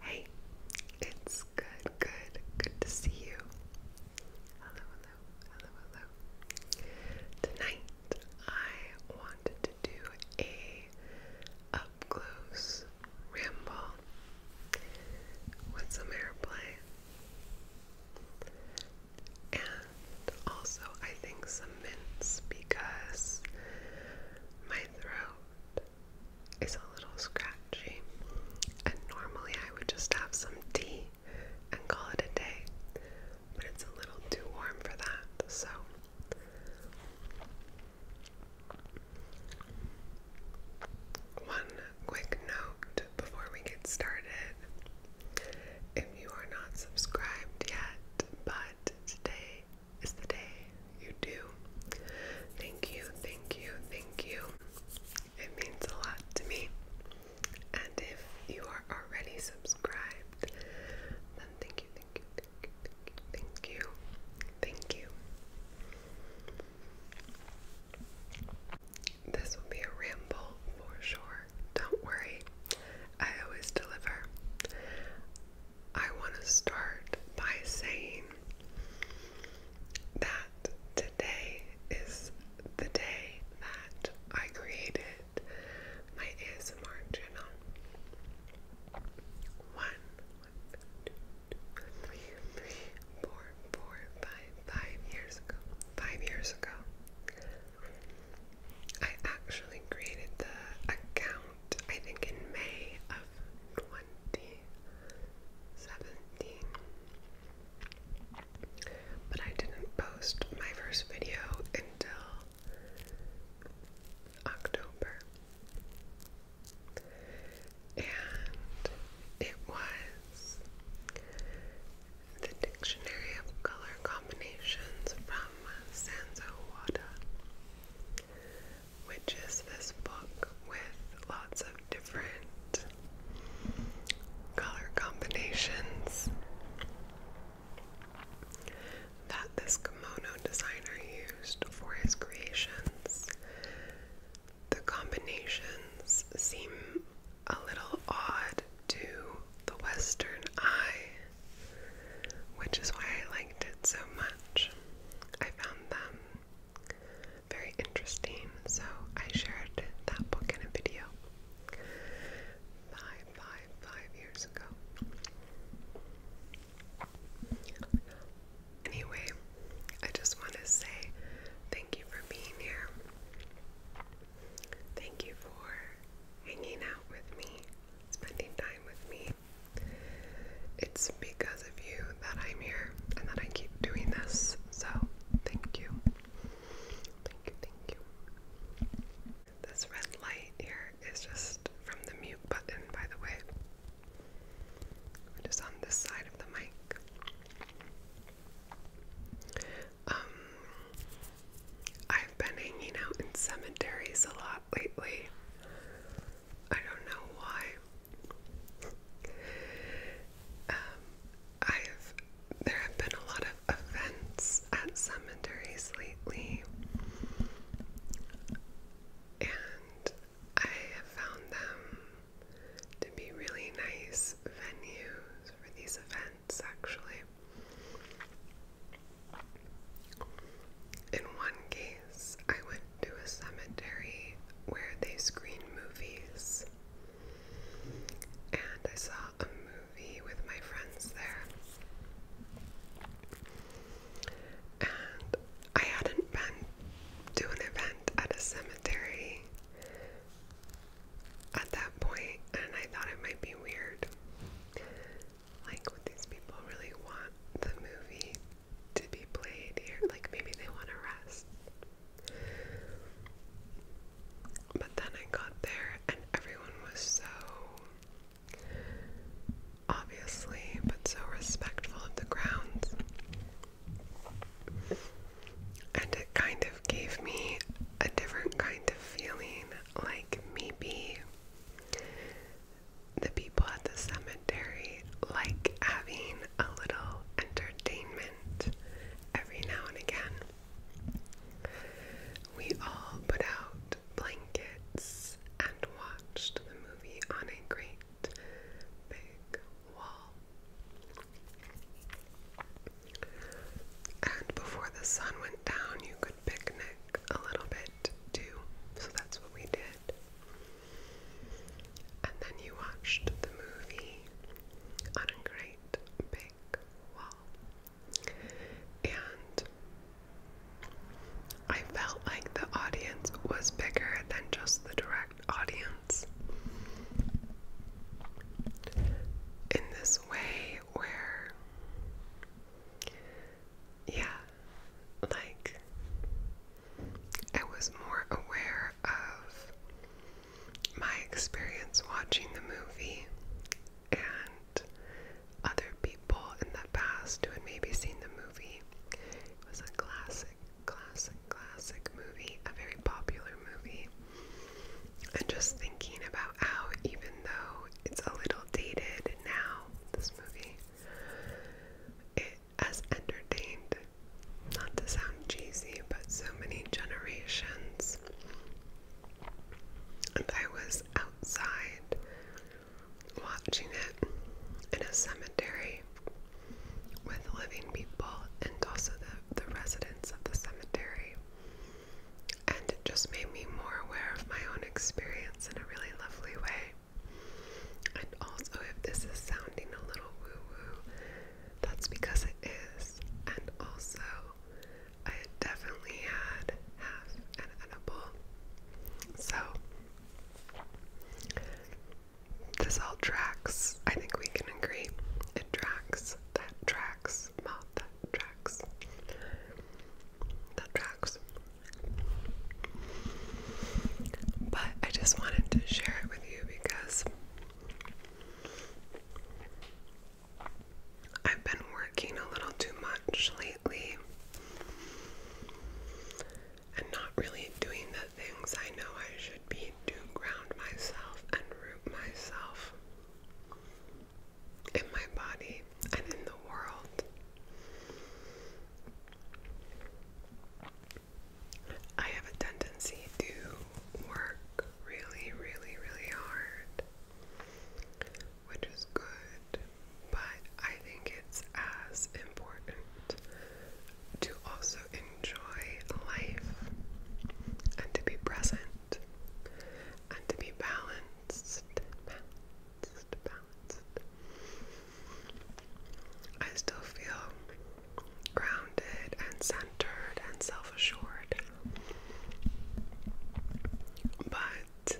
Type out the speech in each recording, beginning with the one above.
Hey, it's good, good, good to see you. Hello, hello, hello, hello. Tonight I wanted to do a up close ramble with some airplay. And also, I think some mints because my throat it's a little scratchy, and normally I would just have some tea and call it a day, but it's a little too warm for that, so. One quick note before we get started. If you are not subscribed yet, but today is the day you do. Thank you, thank you, thank you. It means a lot to me. And if you are already subscribed, then thank you, thank you, thank you, thank you, thank you. This will be a ramble for sure. Don't worry, I always deliver. I want to start by saying that today is the day that I created my ASMR channel. One, one, two, two, three, three, four, four, five, five years ago. Five years ago. I actually created the account I think, in May of 2017. But I didn't post my first video until October. And it was the Dictionary of Color Combinations from Sanso Water which is this book with lots of different color combinations that this kimono designer used for his creations. The combinations seem a little odd to the Western eye, which is why I liked it so much. I found them very interesting, so I shared that book in a video five, five, five years ago. Anyway, I just want to say thank you for being here. Thank you for hanging out with me, spending time with me. It's because of you that I'm here and that I keep doing this. So, thank you. Thank you, thank you. This red light here is just from the mute button, by the way, which is on this side of the mic. Um, I've been hanging out in cemeteries a lot lately. I don't know why. Um, I have. There have been a lot of events at cemeteries lately, and I have found them to be really nice venues for these events, actually. In one case, I went to a cemetery where they screen movies, and I saw a movie with my friends there. And I hadn't been to an event at a cemetery at that point, and I thought it might be weird like what these people really want the movie to be played here. Like maybe they want to rest. But then I got there and everyone was so obviously, but so respectful of the grounds. And it kind of gave me a different kind of feeling, like maybe the people at the cemetery like having a little entertainment every now and again. We all put out blankets and watched the movie on a great big wall. And before the sun went down, you could picnic a little bit too, so that's what we did. And then you watched the movie on a great big wall. And I felt like the audience was bigger than just the direct audience. In this way, where, yeah, like I was more aware of my experience watching the movie and other people in the past who had maybe seen the movie. It was a classic, classic, classic movie, a very popular movie. And just thinking about how, even though it's a little dated now, this movie. It has entertained, not to sound cheesy, but so many generations. And I was outside watching it in a cemetery with living people and also the, the residents of the cemetery and it just made me more aware of my own experience in a really lovely way. And also, if this is sounding a little woo woo, that's because it is. And also, I definitely had half an edible. So, this all tracks. I think we can agree. It tracks, that tracks, not that tracks. That tracks. But I just wanted to share it with you because I've been working a little too much lately and not really doing the things I know I should be to ground myself and root myself in my body and in the world. I have a tendency to work really, really, really hard, which is good, but I think it's as important to also enjoy life and to be present and to be balanced, balanced, balanced. I still feel grounded and centered and self assured, but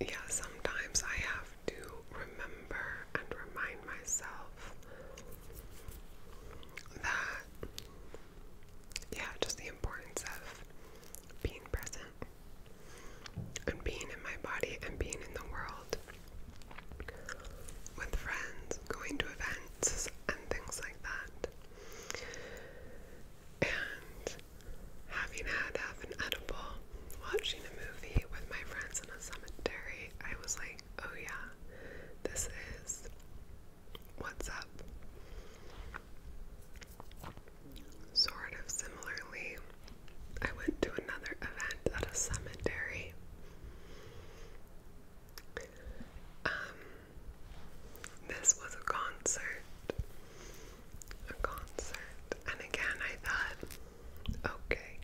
yeah, sometimes I have to remember and remind myself that yeah, just the importance of being present and being in my body and being in the world with friends, going to events and things like that. And having had half an edible, watching a movie with my friends in a cemetery, I was like, oh yeah, this is What's up? Sort of similarly, I went to another event at a cemetery. Um, this was a concert. A concert. And again, I thought, okay,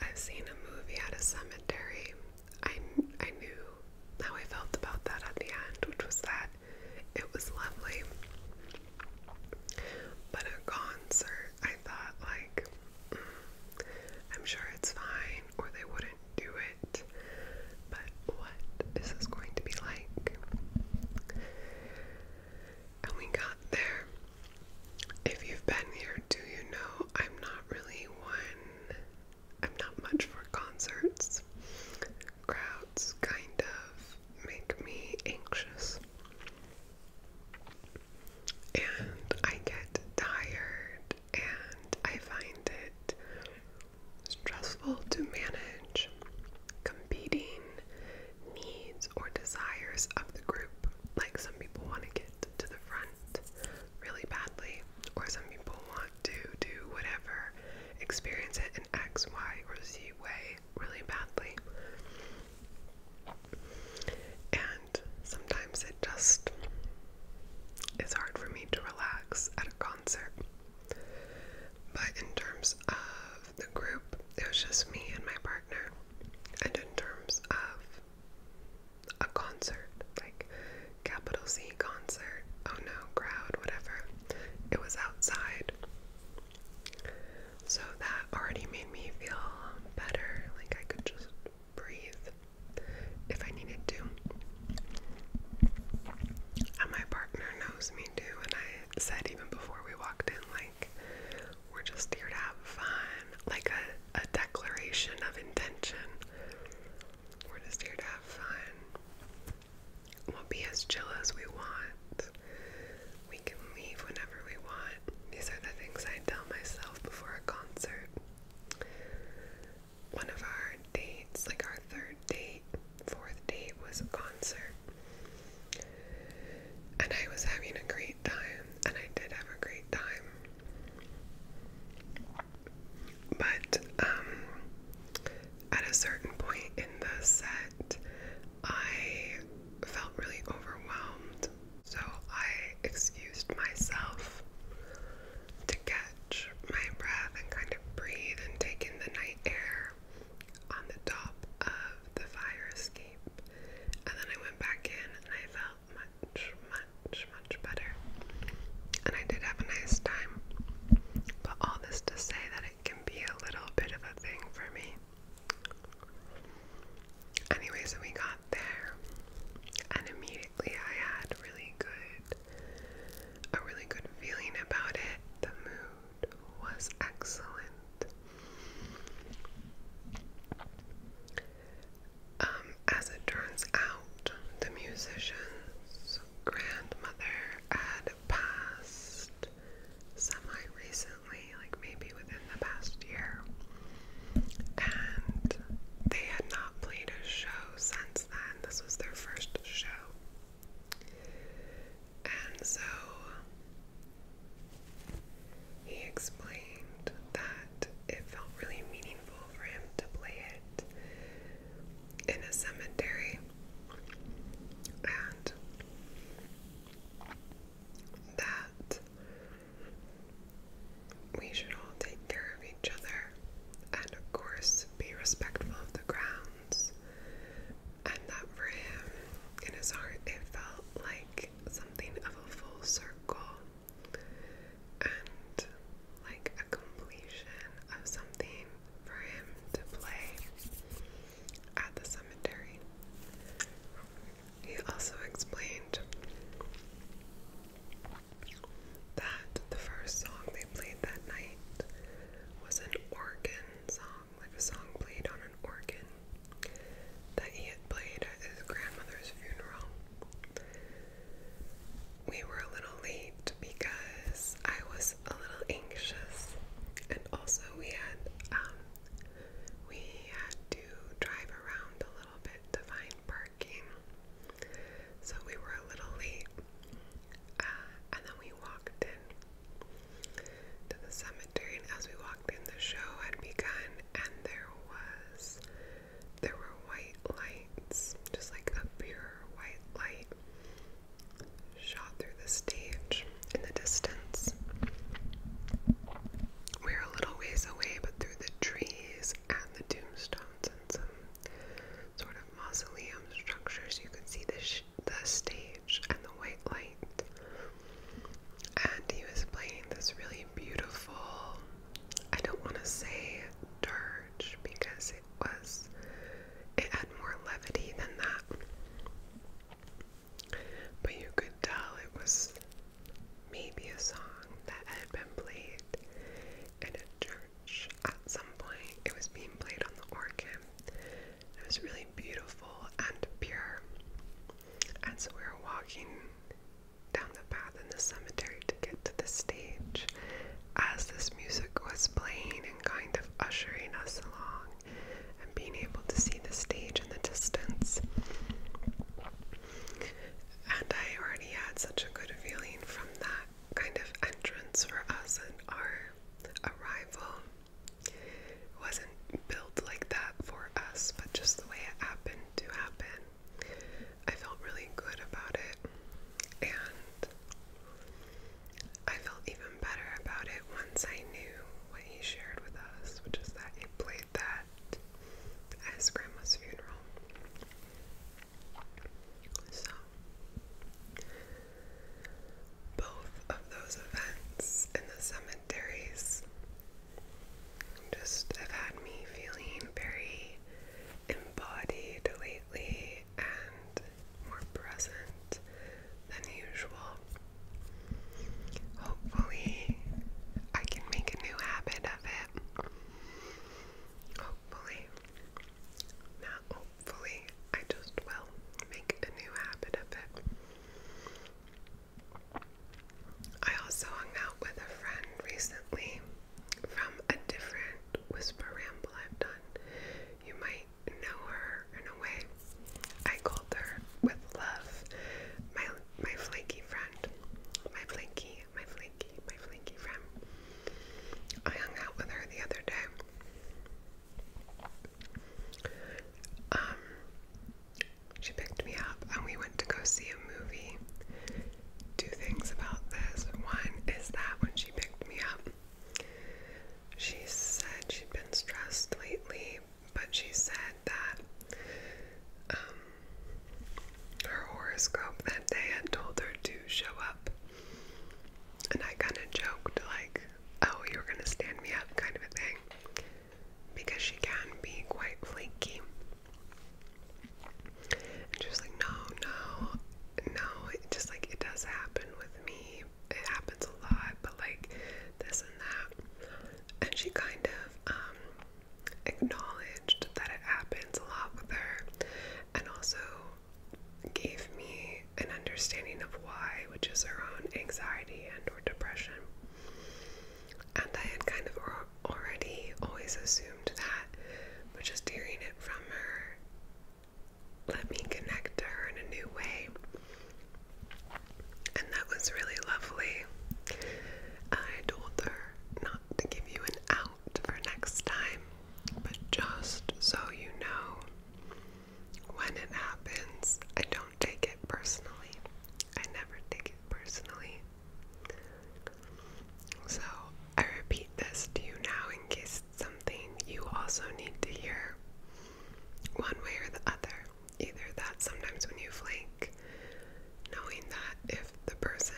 I've seen a movie at a cemetery. I, I knew how I felt about that at the end, which was that it was lovely. But a concert, I thought, like, mm, I'm sure it's fine, or they wouldn't do it. But what is this going to be like? And we got there. If you've been here, do you know I'm not really one I'm not much for concerts. Crowds kind of make me anxious. And I get tired and I find it stressful to manage competing needs or desires of the group. Like some people want to get to the front want really badly, or some people want to do whatever, experience it in X, Y, or Z way really badly. And sometimes it just is hard for me to relax at a concert. But in terms of the group, it was just me and my partner. And in terms of a concert, like capital C concert, oh no, crowd, whatever. It was outside. So that already made me feel better, like I could just breathe if I needed to. And my partner knows me too, and I said even before we walked in, like, we're just here to have fun, like a, a declaration of intention. We're just here to have fun. We'll be as chill as we want. We can leave whenever we want. These are the things I tell myself before a concert. One of our dates, like our third date, fourth date, was a concert. And I was having a great time, and I did have a great time. But um, at a certain point in the set, I felt really overwhelmed, so I excused myself to catch my breath and kind of breathe and take in the night air on the top of the fire escape. And then I went back in and I felt much, much, much better. And I did have a nice time. But all this to say that it can be a little bit of a thing for me. Anyway, we got there, and immediately I had really good, a really good feeling about it. The mood was excellent. Um, as it turns out, the musician's grandmother had passed semi recently, like maybe within the past year, and they had not played a show since then. This was their first show. And so he explained that it felt really meaningful for him to play it in a cemetery. And that we should all take care of each other and, of course, be respectful of the grounds. And that for him, in his heart, it felt like something of a full circle and like a completion of something for him to play at the cemetery. He also explained that the first song they played that night was an organ song, like a song played on an organ that he had played at his grandmother's funeral we were a little late because I was a little anxious, and also we had um, we had to drive around a little bit to find parking, so we were a little late, uh, and then we walked in to the cemetery, and as we walked in, the show had begun, and there was there were white lights, just like a pure white light shot through the stage in the distance. We were a little ways away, but through the trees and the tombstones and some sort of mausoleum structures, you could see the, the stage and the white light. And he was playing this really beautiful I don't want to say dirge because it was, it had more levity than that. But you could tell it was maybe a song that had been played in a church at some point. It was being played on the organ. It was really beautiful and pure. And so we were walking down the path in the cemetery to get to the stage as this music was playing and kind of ushering us along and being able to see the stage in the distance. And I already had such a good feeling from that kind of entrance for us and our arrival. It wasn't built like that for us, but just the way it happened to happen I felt really good about it, and I felt even better about it once I knew what he shared with us, which is that he played that at his grandma's funeral. So, both of those events in the cemeteries just have had me feeling very embodied lately and more present than usual. Hopefully, I can make a new habit of it. Hopefully, not hopefully, I just will make a new habit of it. I also hung out with a friend recently from a different whisper ramble I've done. You might know her in a way. I called her with love, my my flaky friend, my flaky, my flaky, my flaky friend. I hung out with her the other day. Um, she picked me up and we went to go see a movie. Two things about this. One is that when she picked me up, she said she'd been stressed lately, but she said that um, her horoscope that day had told her to show up. And I kind of joked, like, oh, you're gonna stand me up, kind of a thing because she can be quite flaky. And she was like, no, no, no, it just like it does happen with me. It happens a lot, but like this and that. And she kind of um, acknowledged that it happens a lot with her and also gave me an understanding of why, which is her own anxiety and or depression and I had kind of already always assumed that, but just hearing it from her let me connect to her in a new way. And that was really lovely. I told her not to give you an out for next time, but just so you know, when it happens, I don't take it personally. I never take it personally. So, I repeat this to you now in case it's something you also need to hear one way or the other. Either that sometimes when you flake, knowing that if the person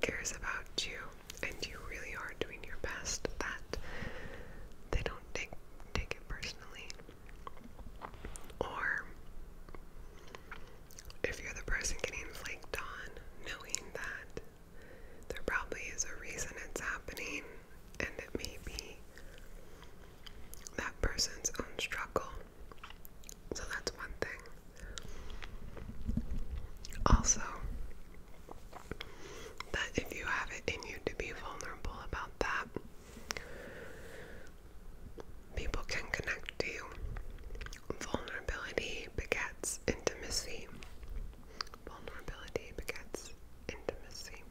cares about you and you really are doing your best, that they don't take, take it personally. Or if you're the person getting flaked on, knowing that there probably is a reason it's happening, and it may be that person's own struggle. So that's one thing. Also, that if you have it in you to be vulnerable about that, People can connect to you. Vulnerability begets intimacy. Vulnerability begets intimacy.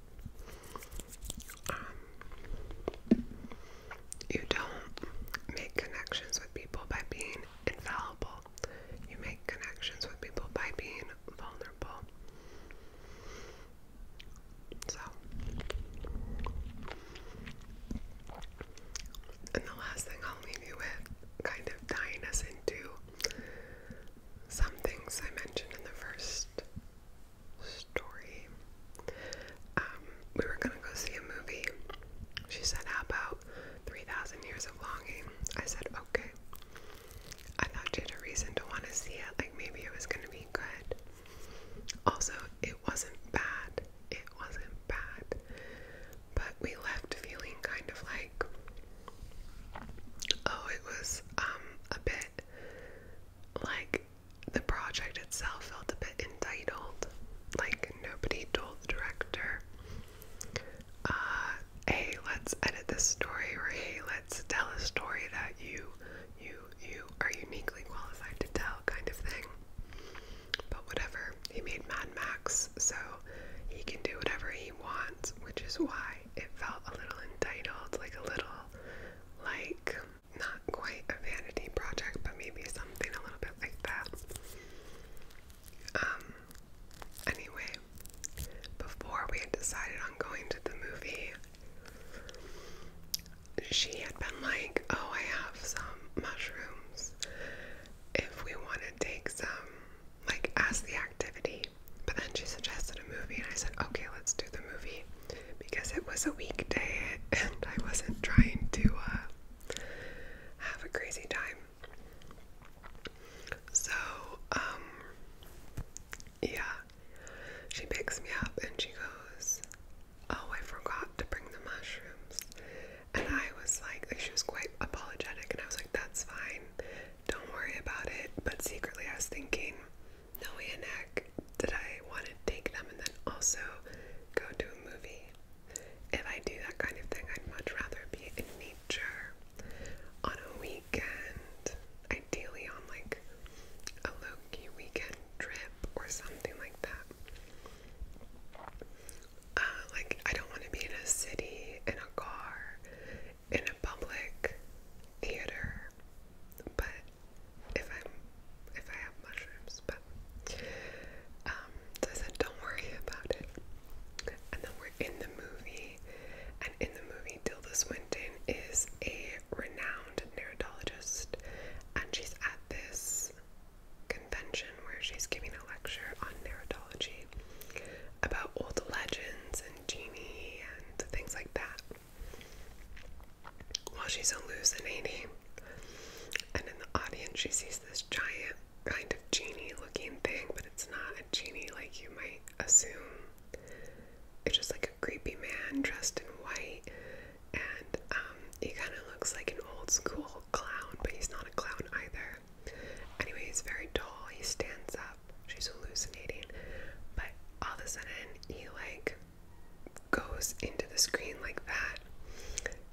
Um, you don't make connections with people by being infallible. You make connections with people by being vulnerable. So, and the last thing I'll leave you with, kind of tying us into some things I mentioned in the first story. Um, we were gonna go see a movie. She said, How about 3,000 Years of Longing? I said, Okay. I thought she had a reason to want to see it, like maybe it was gonna be good. Also, it wasn't bad it wasn't bad, but we left feeling kind of like, oh, it was um a bit like the project itself felt a bit entitled, like nobody told the director, uh, hey, let's edit this story, or hey, let's tell a story that you you you are uniquely qualified to tell kind of thing. But whatever, he made Mad Max, so he can do whatever he wants, which is why it felt a little entitled, like a little like not quite a vanity project, but maybe something a little bit like that. Um anyway, before we had decided on going to the movie, she had been like, Oh, I have some mushrooms. If we want to take some, like, as the activity. But then she suggested a movie, and I said, Okay, let's do the movie because it was a weekday and I wasn't trying to uh, have a crazy time. So, um, yeah, she picks me up and she goes, oh, I forgot to bring the mushrooms. And I was like, like, she was quite apologetic, and I was like, that's fine, don't worry about it. But secretly, I was thinking, no way in heck did I want to take them and then also go to a movie. If I do that kind of thing, I'd much rather be in nature on a weekend, ideally on like a low key weekend trip or something like that. Uh, like, I don't want to be in a city, in a car, in a public theater, but if i if I have mushrooms, but um, I said, don't worry about it. And then we're in the movie, and in the movie, Tilda Swinton is a renowned neurologist, and she's at this convention where she's giving a lecture on neurology about old legends and genie and things like that. While she's hallucinating, and in the audience, she sees this giant kind of genie looking thing, but it's not a genie like you might assume it's just like a creepy man dressed in white, and um, he kind of looks like an old school clown, but he's not a clown either. Anyway, he's very tall. He stands up. She's hallucinating, but all of a sudden he like goes into the screen like that,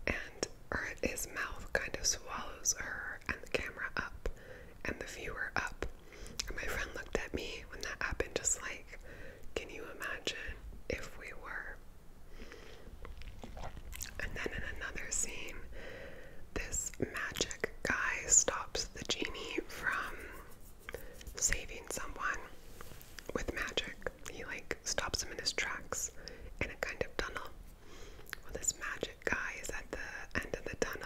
and or his mouth kind of swallows her and the camera up and the viewer up. And my friend looked at me when that happened, just like can you imagine if we were? And then in another scene, this magic guy stops the genie from saving someone with magic. He like stops him in his tracks in a kind of tunnel. Well, this magic guy is at the end of the tunnel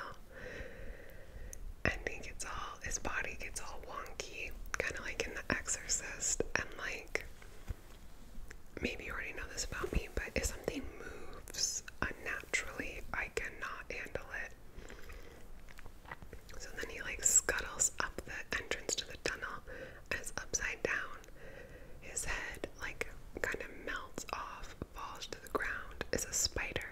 and he gets all his body gets all wonky, kind of like in The Exorcist. And like, maybe you already know this about me, but if something moves unnaturally, I cannot handle it. So then he like scuttles up the entrance to the tunnel and is upside down. His head like kind of melts off, falls to the ground, is a spider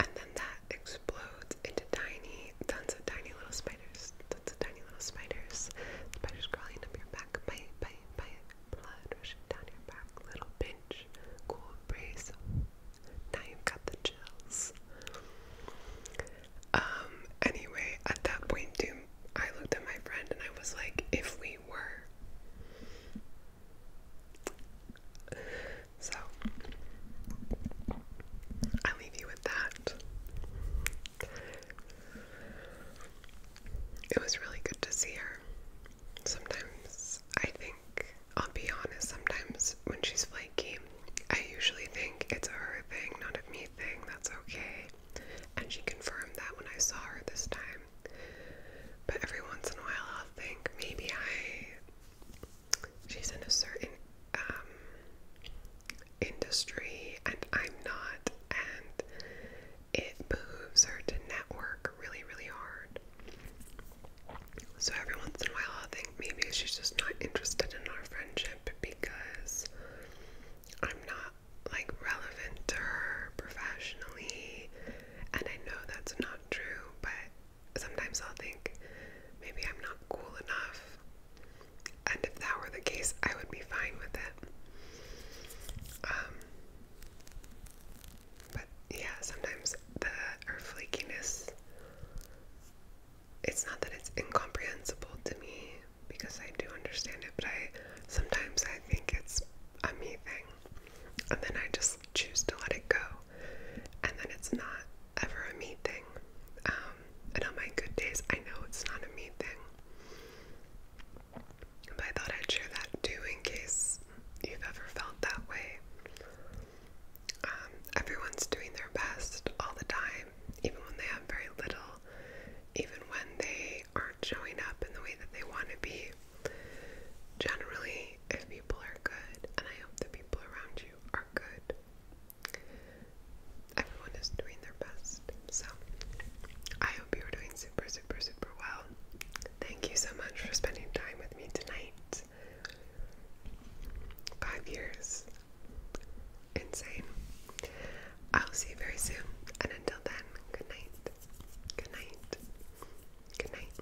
and then that explodes into tiny, tons of tiny little spiders, tons of tiny little spiders, spiders crawling up your back, bite, bite, bite, blood rushing down your back, little pinch, cool breeze, now you've got the chills. Um, anyway, at that point, too, I looked at my friend and I was like, if we were so I leave you with that. It was really good to see her. Sometimes I think, I'll be honest, sometimes when she's flaky, I usually think it's her thing, not a me thing, that's okay. And she confirmed that when I saw her this time. But every once in a while, I'll think maybe I she's in a certain um, industry and I'm not, and it moves her to network really, really hard. So every once in a while, I think maybe she's just not interested in our friendship because I'm not like relevant to her professionally, and I know that's not true, but sometimes I'll think maybe I'm not cool enough. And if that were the case, I would be fine with it. Um, but yeah, sometimes the or flakiness. It's not that it's incomprehensible to me because I do understand it, but I sometimes I think it's a me thing, and then I just choose to let it go, and then it's not ever a me thing. Um, and on my good days, I know it's not a me thing. But I thought I'd share that too in case you've ever felt that way. Um, everyone's doing their best all the time, even when they have very little, even when they aren't showing up in the way that they want to be. Generally, if people are good, and I hope the people around are good. Everyone is doing their best. So, I hope you're doing super, super, super well. Thank you so much for spending time with me tonight. Five years. Insane. I'll see you very soon. And until then, good night. Good night. Good night.